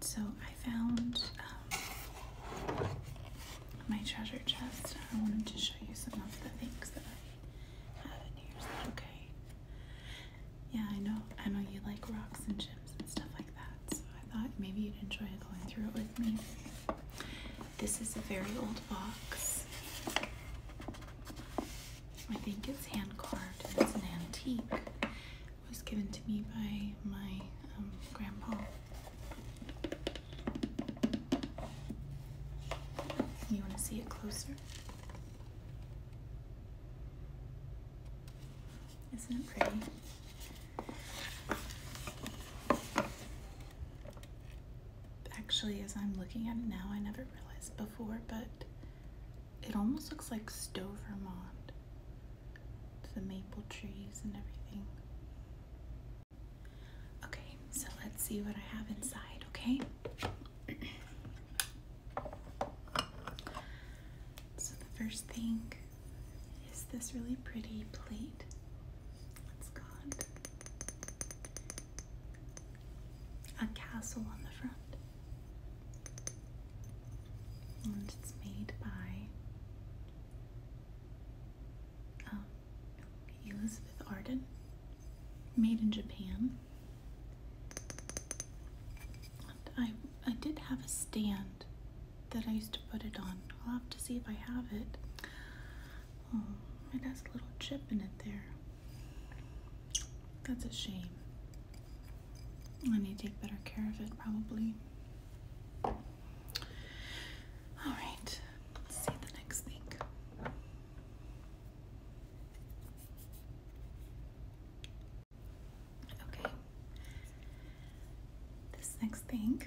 so I found um, my treasure chest. I wanted to show you some of the things that I have in here. Is that okay? Yeah, I know. I know you like rocks and gems and stuff like that. So I thought maybe you'd enjoy going through it with me. This is a very old box. I think it's hand carved and it's an antique. It was given to me by my um, grandpa. You want to see it closer? Isn't it pretty? Actually, as I'm looking at it now, I never realized before, but it almost looks like Stowe, Vermont. The maple trees and everything. Okay, so let's see what I have inside, okay? so the first thing is this really pretty plate. It's a castle on the front. it's made by um, Elizabeth Arden, made in Japan. I I did have a stand that I used to put it on. I'll have to see if I have it. Um, it has a little chip in it there. That's a shame. I need to take better care of it, probably. Alright, see the next thing. Okay. This next thing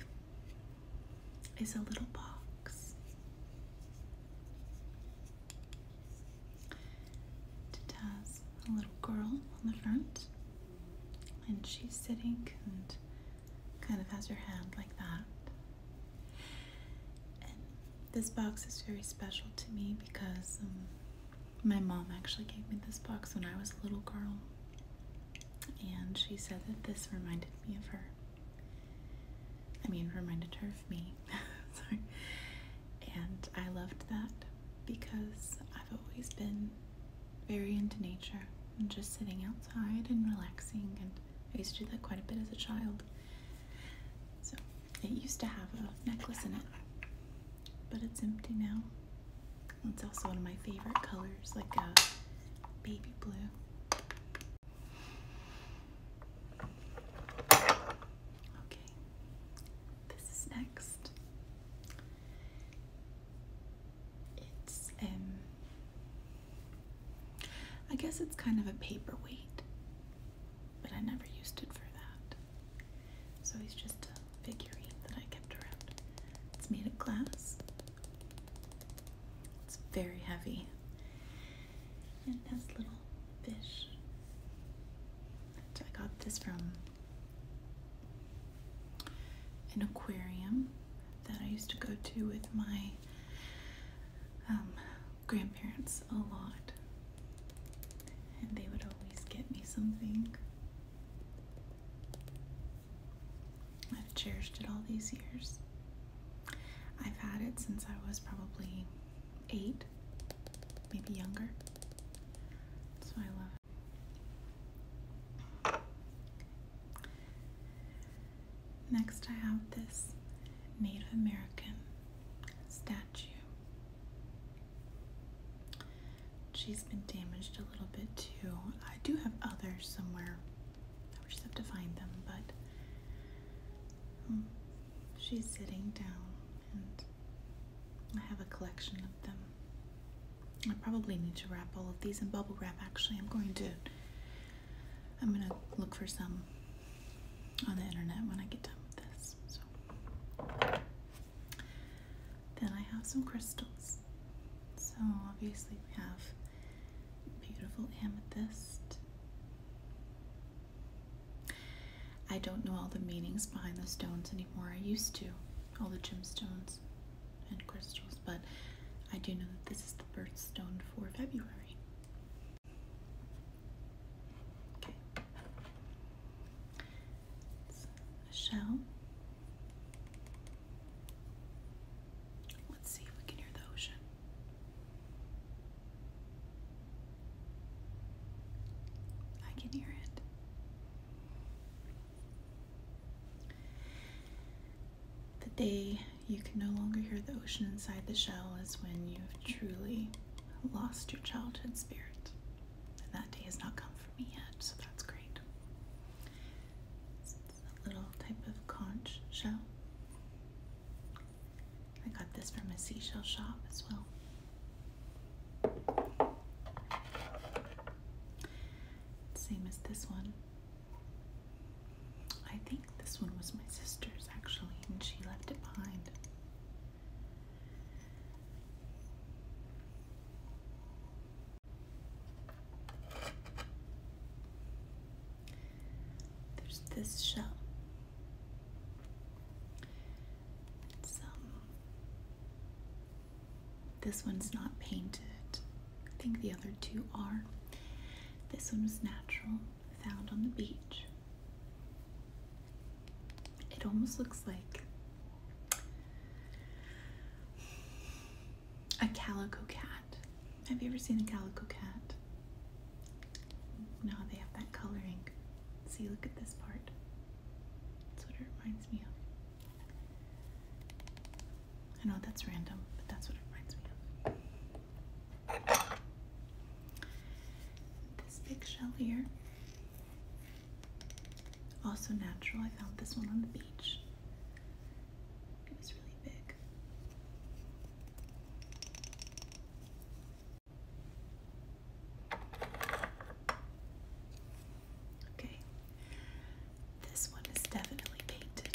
is a little box. It has a little girl on the front, and she's sitting and kind of has her hand like that. this box is very special to me because um, my mom actually gave me this box when I was a little girl, and she said that this reminded me of her. I mean, reminded her of me. Sorry. And I loved that because I've always been very into nature and just sitting outside and relaxing. And I used to do that quite a bit as a child. So it used to have a necklace in it, but it's empty now. It's also one of my favorite colors, like a baby blue. Okay, this next. It's um I guess it's kind of a paperweight, but I never used it for that. So he's just a figurine that I kept around. It's made of glass. It's very heavy. And it little fish. I got this from an aquarium that I used to go to with my um, grandparents a lot. And they would always get me something. I've cherished it all these years. I've had it since I was probably eight, maybe younger. That's I love Next, I have this Native American statue. She's been damaged a little bit too. I do have others somewhere. I just have to find them, but she's sitting down, and I have a collection of them. I probably need to wrap all of these in bubble wrap. Actually, I'm going to. I'm gonna look for some on the internet when I get done with this. So then I have some crystals. So obviously we have beautiful amethyst. I don't know all the meanings behind the stones anymore. I used to, all the gemstones and crystals, but I do know that this is the birthstone for February. Okay. shell. Let's see if we can hear the ocean. I can hear it. The day you can no longer hear the ocean inside the shell is when you've truly lost your childhood spirit. And that day has not come for me yet, so that's great. little type of conch shell. I got this from a seashell shop as well. Same as this one. I think this one was my sister's actually, and she left it behind. There's this shell it's, this one's not painted. I think the other two are. This one was natural, found on the beach. It almost looks like a calico cat. Have you ever seen a calico cat? Now they have that coloring. See, look at this part. That's what it reminds me of. I know that's random, but that's what it reminds me of. This big shell here. Also natural. I found this one on the beach. It was really big. Okay, this one is definitely painted.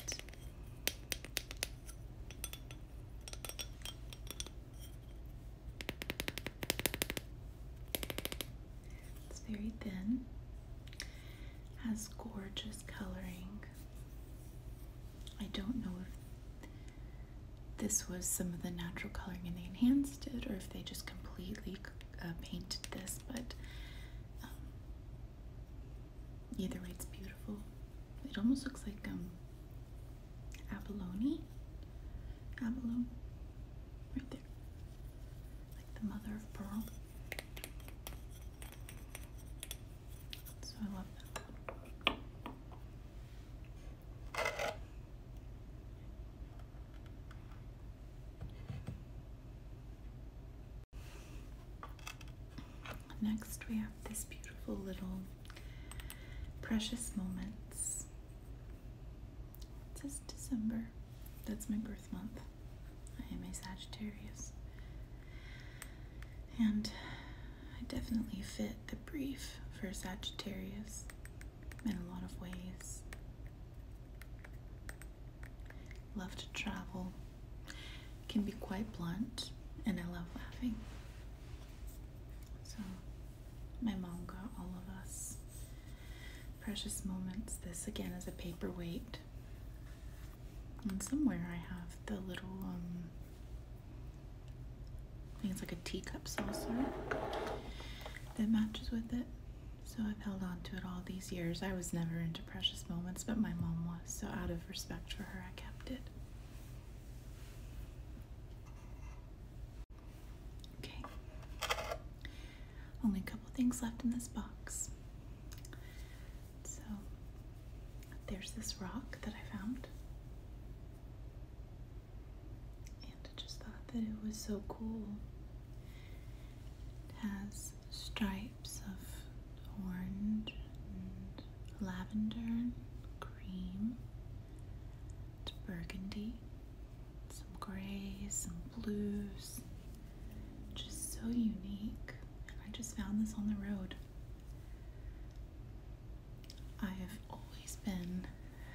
It's very thin, has gorgeous coloring. I don't know if this was some of the natural coloring and they enhanced it or if they just completely uh, painted this, but um, either way, it's beautiful. It almost looks like um, abalone, abalone, right there, like the mother of pearl. So I love that Next, we have this beautiful little Precious Moments. It says December. That's my birth month. I am a Sagittarius. And I definitely fit the brief for Sagittarius in a lot of ways. Love to travel, can be quite blunt, and I love laughing. So, my mom got all of us precious moments. This again is a paperweight. And somewhere I have the little um, I it's like a teacup saucer that matches with it. So I've held on to it all these years. I was never into precious moments, but my mom was. So out of respect for her, I kept it. Okay. Only a couple things left in this box. So there's this rock that I found. And I just thought that it was so cool. It has stripes of orange lavender and cream. It's burgundy. Some grays, some blues. Just so unique. And I just found this on the road. I have always been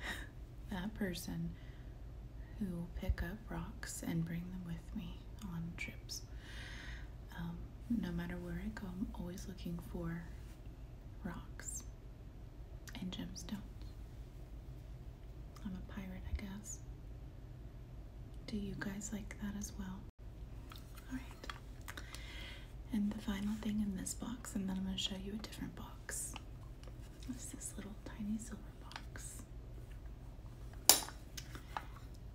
that person who will pick up rocks and bring them with me on trips. Um, no matter where I go, I'm always looking for rocks and gemstones. I'm a pirate, I guess. Do you guys like that as well? All right. And the final thing in this box, and then I'm going to show you a different box. It's this little tiny silver box.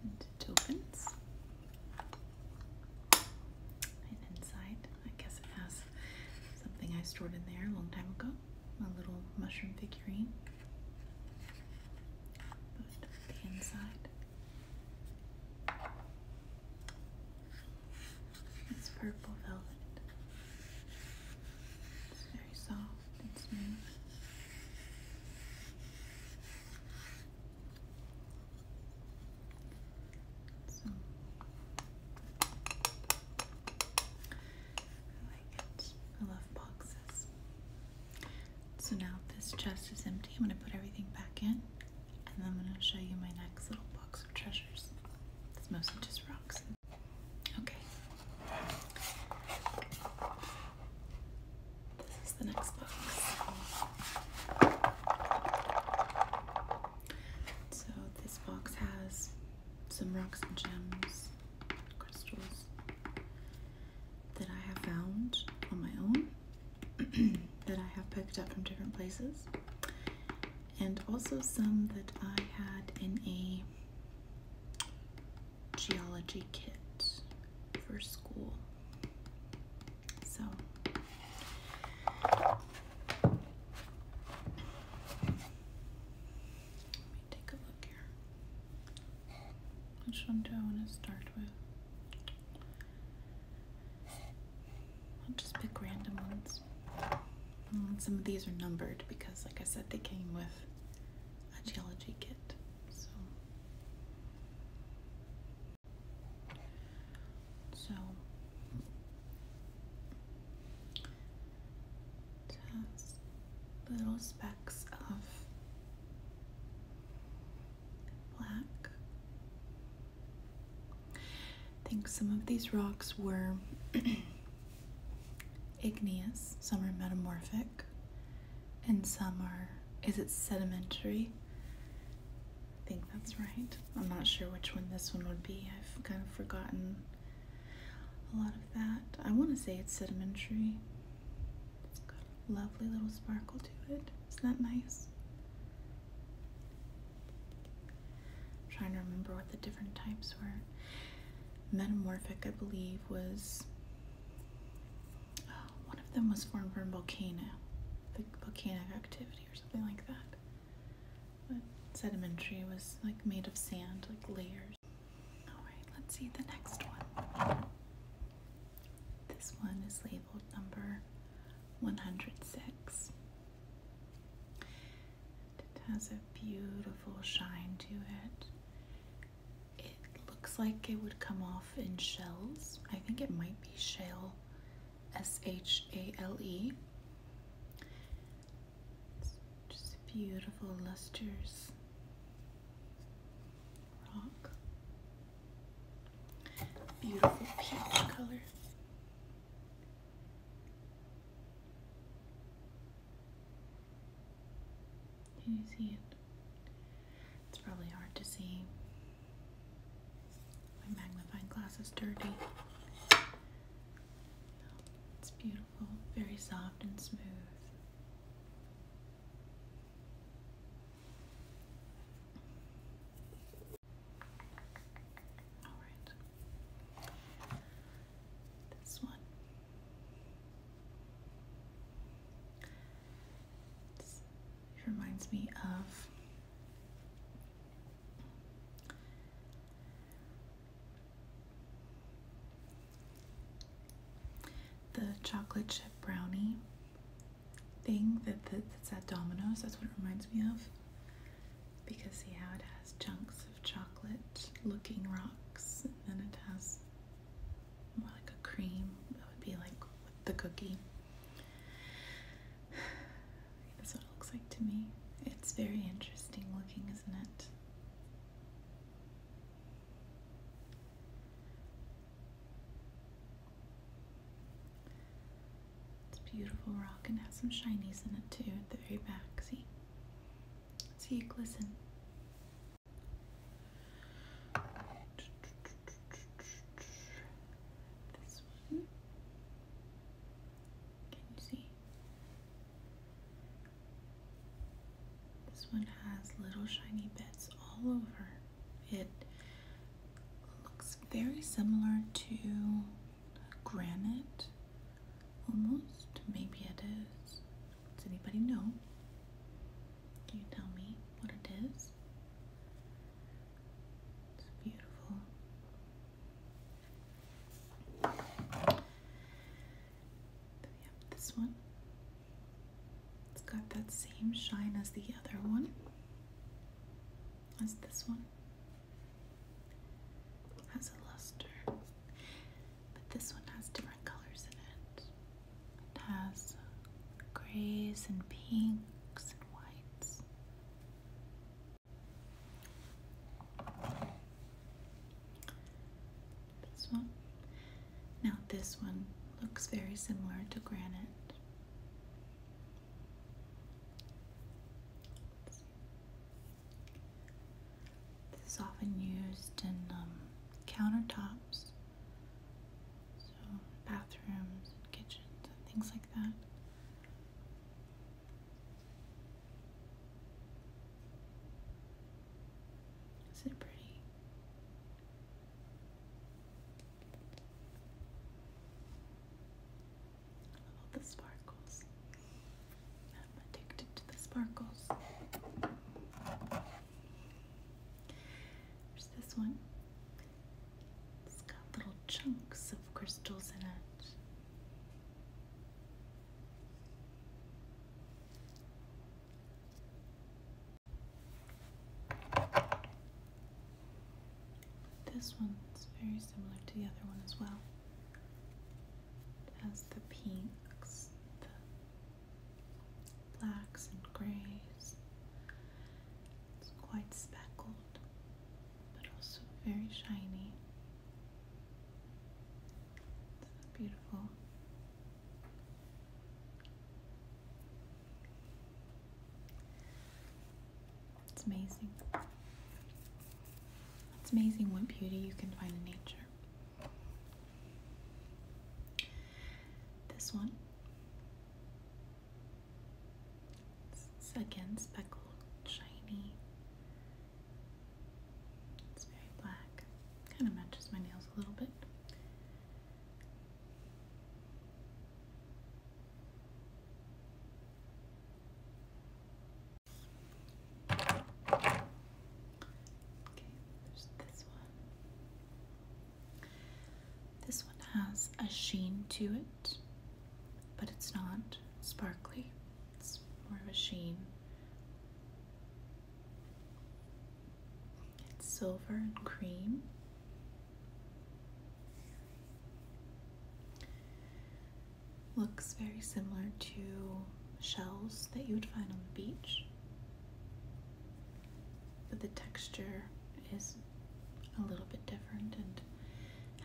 And it opens. And inside, I guess it has something I stored in there a long time ago. A little mushroom figurine. But the inside it's purple velvet. It's very soft and smooth. I like it. I love boxes. So now this chest is empty. I'm going to put everything back in and then I'm going to show you my next little box of treasures. It's mostly just rocks. Okay. This is the next box. So this box has some rocks and gems, crystals, that I have found on my own, that I have picked up from different places, and also some that I had in a geology kit for school. So, let me take a look here. Which one do I want to start with? I'll just pick random ones. Mm, some of these are numbered because, like I said, they came with a geology kit. So, little specks of black. I think some of these rocks were igneous, some are metamorphic, and some are, is it sedimentary? I think that's right. I'm not sure which one this one would be. I've kind of forgotten a lot of that. I want to say it's sedimentary. It's got a lovely little sparkle to it. Isn't that nice? trying to remember what the different types were. Metamorphic, I believe, was oh, one of them was formed from volcano, like volcanic activity or something like that. sedimentary was like made of sand, like layers. All right, let's see the next one. This one is labeled number 106. It has a beautiful shine to it. It looks like it would come off in shells. I think it might be shale, S H A L E. just beautiful, lusters, rock. Beautiful peach color. Can you see it? It's probably hard to see. My magnifying glass is dirty. It's beautiful, very soft and smooth. This one. reminds me of the chocolate chip brownie thing that, that's at Domino's. That's what it reminds me of. Because see how it has chunks of chocolate looking rocks, and then it has more like a cream that would be like the cookie. That's what it looks like to me. It's very interesting looking, isn't it? It's a beautiful rock and has some shinies in it too at the very back. See? See it glisten. This one. Can you see? This one has little shiny bits all over. It looks very similar to granite, almost. Maybe it is. Does anybody know? Can you tell me what it is? It's beautiful. Then this one. It's got that same shine as the other one, as this one. has a luster, but this one has different colors in it. It has grays and pinks and whites. This one now, this one looks very similar to granite. This is often used in um, countertops, so bathrooms, and kitchens, and things like that. Is it pretty? the sparkles. I'm addicted to the sparkles. There's this one. It's got little chunks of crystals in it. This one's very similar to the other one as well. It has the pinks, the blacks and grays. It's quite speckled, but also very shiny. It's beautiful it's amazing. It's amazing what beauty you can find in nature. This one. It's again speckled, shiny. It's very black. Kind of matches my nails a little bit. This one has a sheen to it, but it's not sparkly. It's more of a sheen. It's silver and cream. Looks very similar to shells that you would find on the beach, but the texture is a little bit different and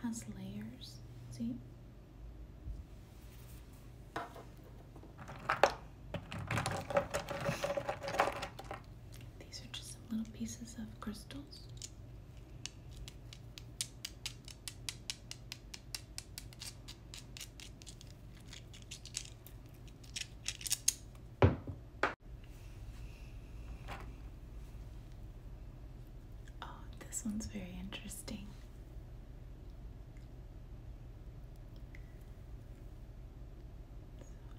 has layers. See? These are just little pieces of crystals. Oh, this one's very interesting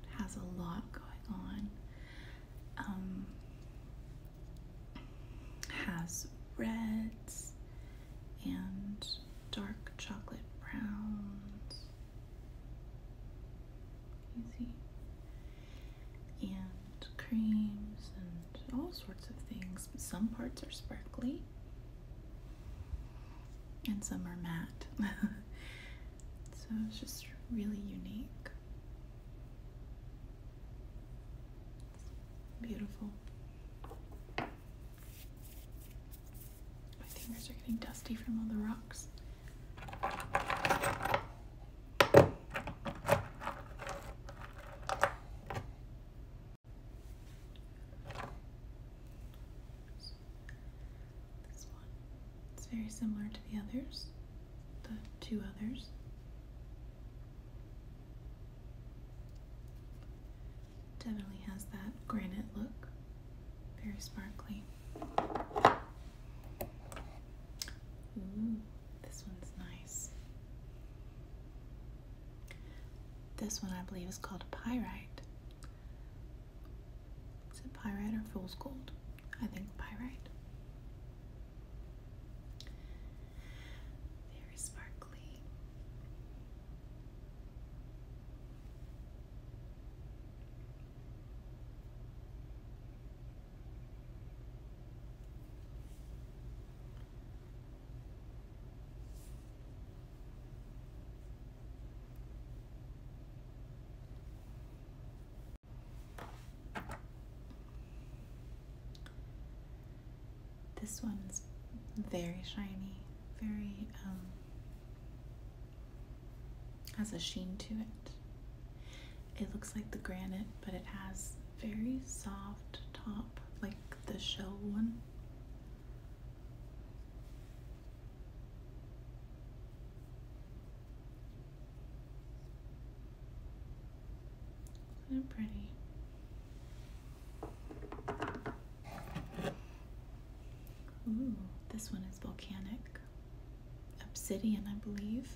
it has a lot going on. Um, has reds and dark chocolate browns. Easy. And creams and all sorts of things. Some parts are sparkly, and some are matte. so it's just really unique. beautiful. My fingers are getting dusty from all the rocks. This one. It's very similar to the others, the two others. Definitely has that granite look, very sparkly. Ooh, this one's nice. This one I believe is called pyrite. Is it pyrite or fool's gold? I think pyrite. Very sparkly. This one's very shiny, very, um, has a sheen to it. It looks like the granite, but it has very soft top, like the shell one. So pretty. Ooh, this one is volcanic. Obsidian, I believe.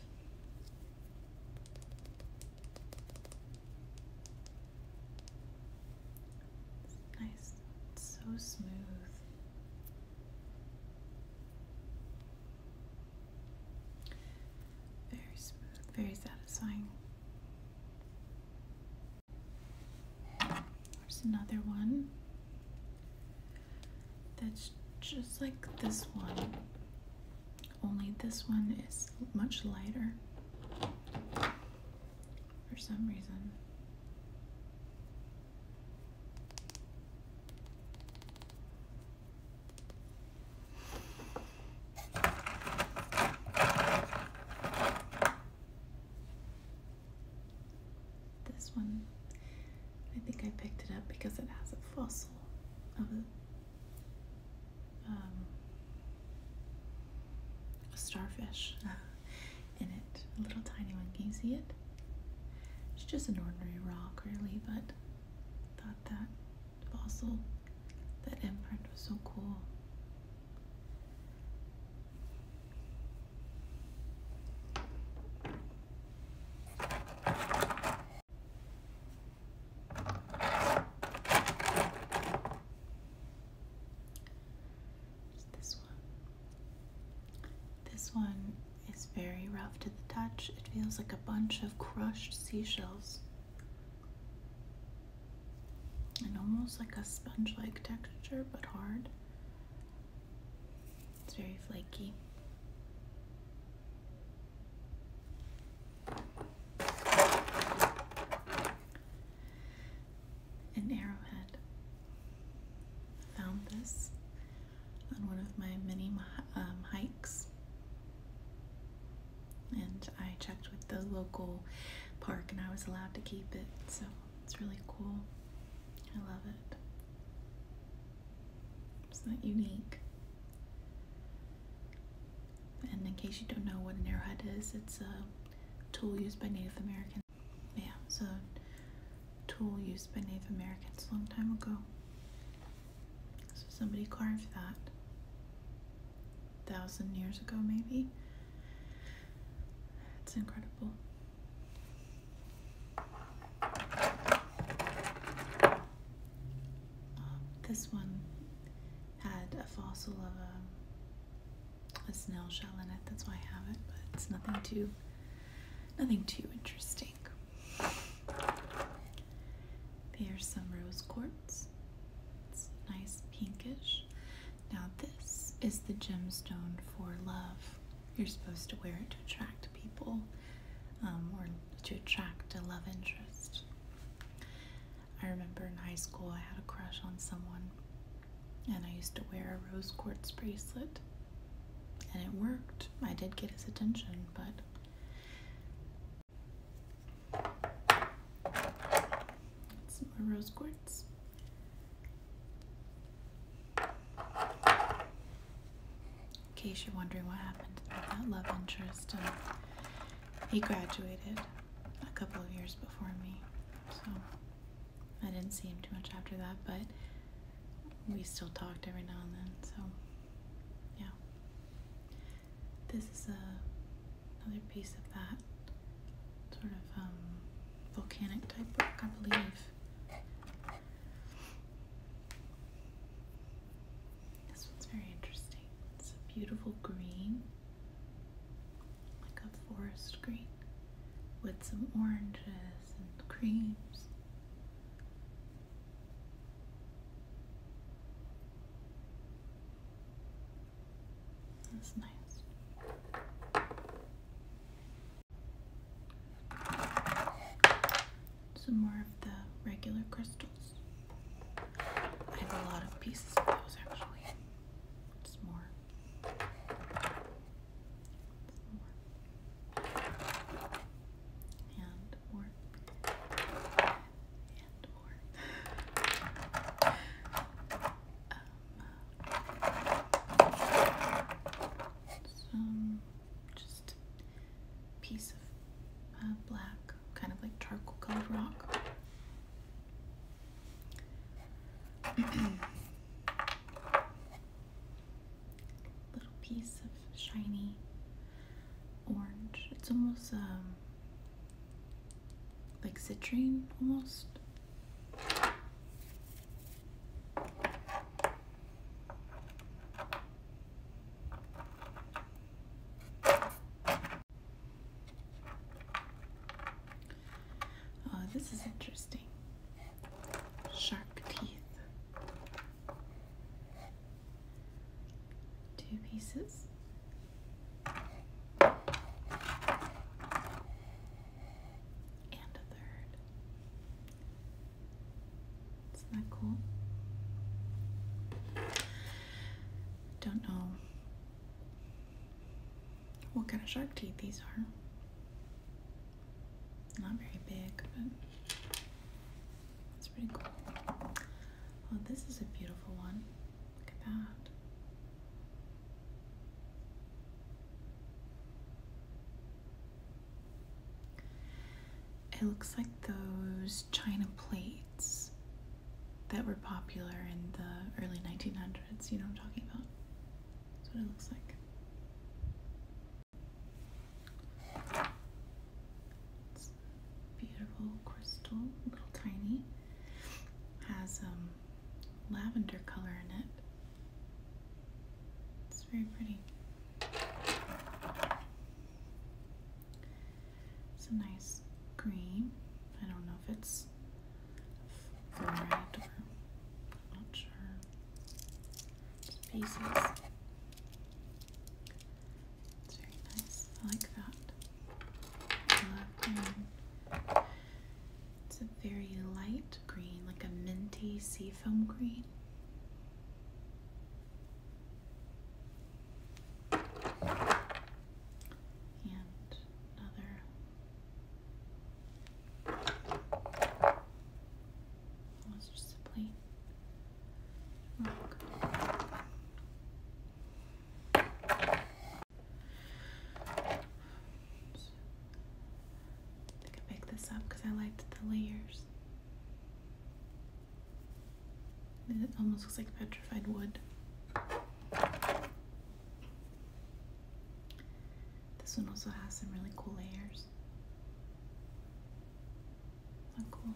It's nice. so smooth. Very smooth, very satisfying. There's another one that's just like this one, only this one is much lighter for some reason. This one, I think I picked it up because it has a fossil of a um, a starfish in it, a little tiny one. Can you see it? It's just an ordinary rock, really, but thought that fossil, that imprint was so cool. This one is very rough to the touch. It feels like a bunch of crushed seashells. And almost like a sponge like texture, but hard. It's very flaky an arrowhead. found this on one of my many um, hikes, and I checked with the local park, and I was allowed to keep it, so it's really cool. I love it. It's not unique. And in case you don't know what an arrowhead is, it's a tool used by Native Americans. Yeah, so tool used by Native Americans a long time ago. So somebody carved that thousand years ago, maybe. That's incredible. Um, this one had a fossil of a um, a snail shell in it. That's why I have it, but it's nothing too, nothing too interesting. There's some rose quartz. It's nice pinkish. Now this is the gemstone for love. You're supposed to wear it to attract people um, or to attract a love interest. I remember in high school I had a crush on someone and I used to wear a rose quartz bracelet and it worked. I did get his attention, but some more rose quartz. In case you're wondering what happened to that love interest, he graduated a couple of years before me, so I didn't see him too much after that, but we still talked every now and then, so yeah. This is a, another piece of that sort of um, volcanic type book, I believe. This one's very interesting. It's a beautiful green like a forest green with some oranges and creams. That's nice. Some more of the regular crystals. I have a lot of pieces of those actually. Just more. And more. And more. um, just piece of uh, black kind of like charcoal colored rock. Little piece of shiny orange. It's almost um, like citrine, almost. Oh, this is interesting. Shark teeth. Two pieces. And a third. Isn't that cool? Don't know what kind of shark teeth these are. Not very big, but it's pretty cool. Oh, this is a beautiful one. Look at that. It looks like those china plates that were popular in the early 1900s. You know what I'm talking about? That's what it looks like. beautiful crystal, little tiny. Has um lavender color in it. It's very pretty. It's a nice green. I don't know if it's red or not sure. pieces. It's very nice. I like that. Love it's a very light green, like a minty seafoam green and another. That's oh, just a plain rock. I think I this up because I liked the layers. It almost looks like petrified wood. This one also has some really cool layers. cool.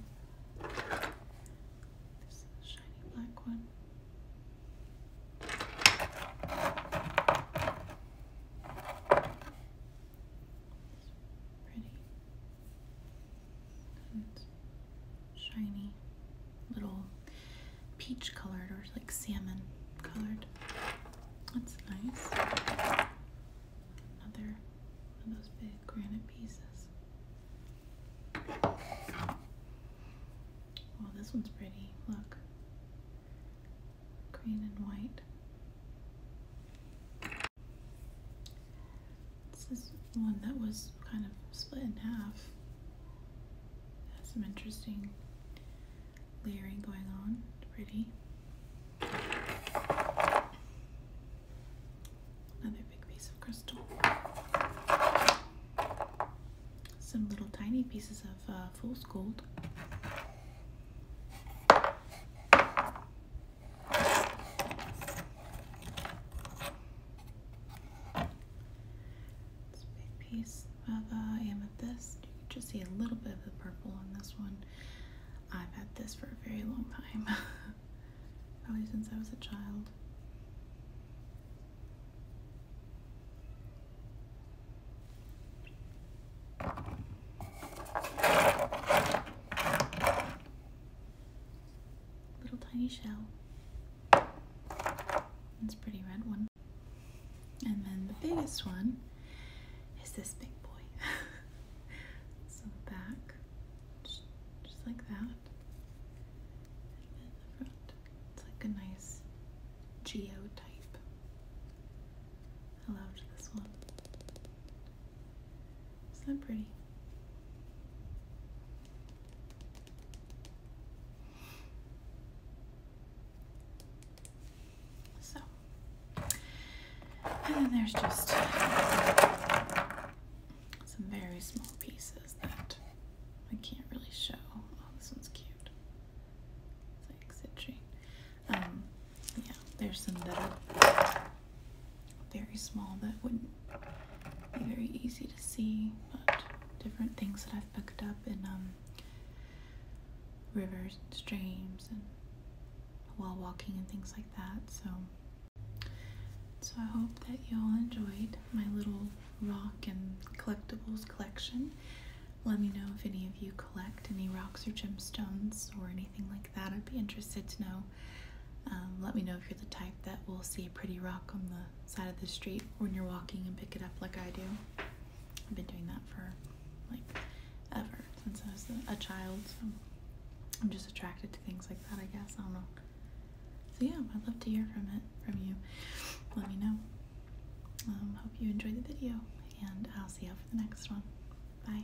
This shiny black one. Pretty shiny little peach colored or like salmon colored. That's nice. Another of those big granite pieces. Oh, this one's pretty. Look. Green and white. This is one that was kind of split in half. has some interesting layering going on. Pretty. Another big piece of crystal. Some little tiny pieces of uh, fool's gold. It's big piece of uh, amethyst. You can just see a little bit of the purple on this one. I've had this for a very long time, probably since I was a child. Little tiny shell. It's pretty red one. And then the biggest one is this big boy. so the back, just, like that. And the front, it's like a nice geo type. I loved this one. Isn't that pretty? So, and then there's just some very small pieces that I can't really show. Oh, this one's cute. It's like citrine. Um, yeah, there's some very small that wouldn't be very easy to see, but different things that I've picked up in um, rivers and streams and while walking and things like that. So, so I hope that you all enjoyed my little rock and collectibles collection. Let me know if any of you collect any rocks or gemstones or anything like that. I'd be interested to know. Um, let me know if you're the type that will see a pretty rock on the side of the street when you're walking and pick it up like I do. I've been doing that for like ever since I was a child. So I'm just attracted to things like that, I guess. I don't know. So yeah, I'd love to hear from it from you. Let me know. Um, hope you enjoyed the video, and I'll see you all for the next one. Bye.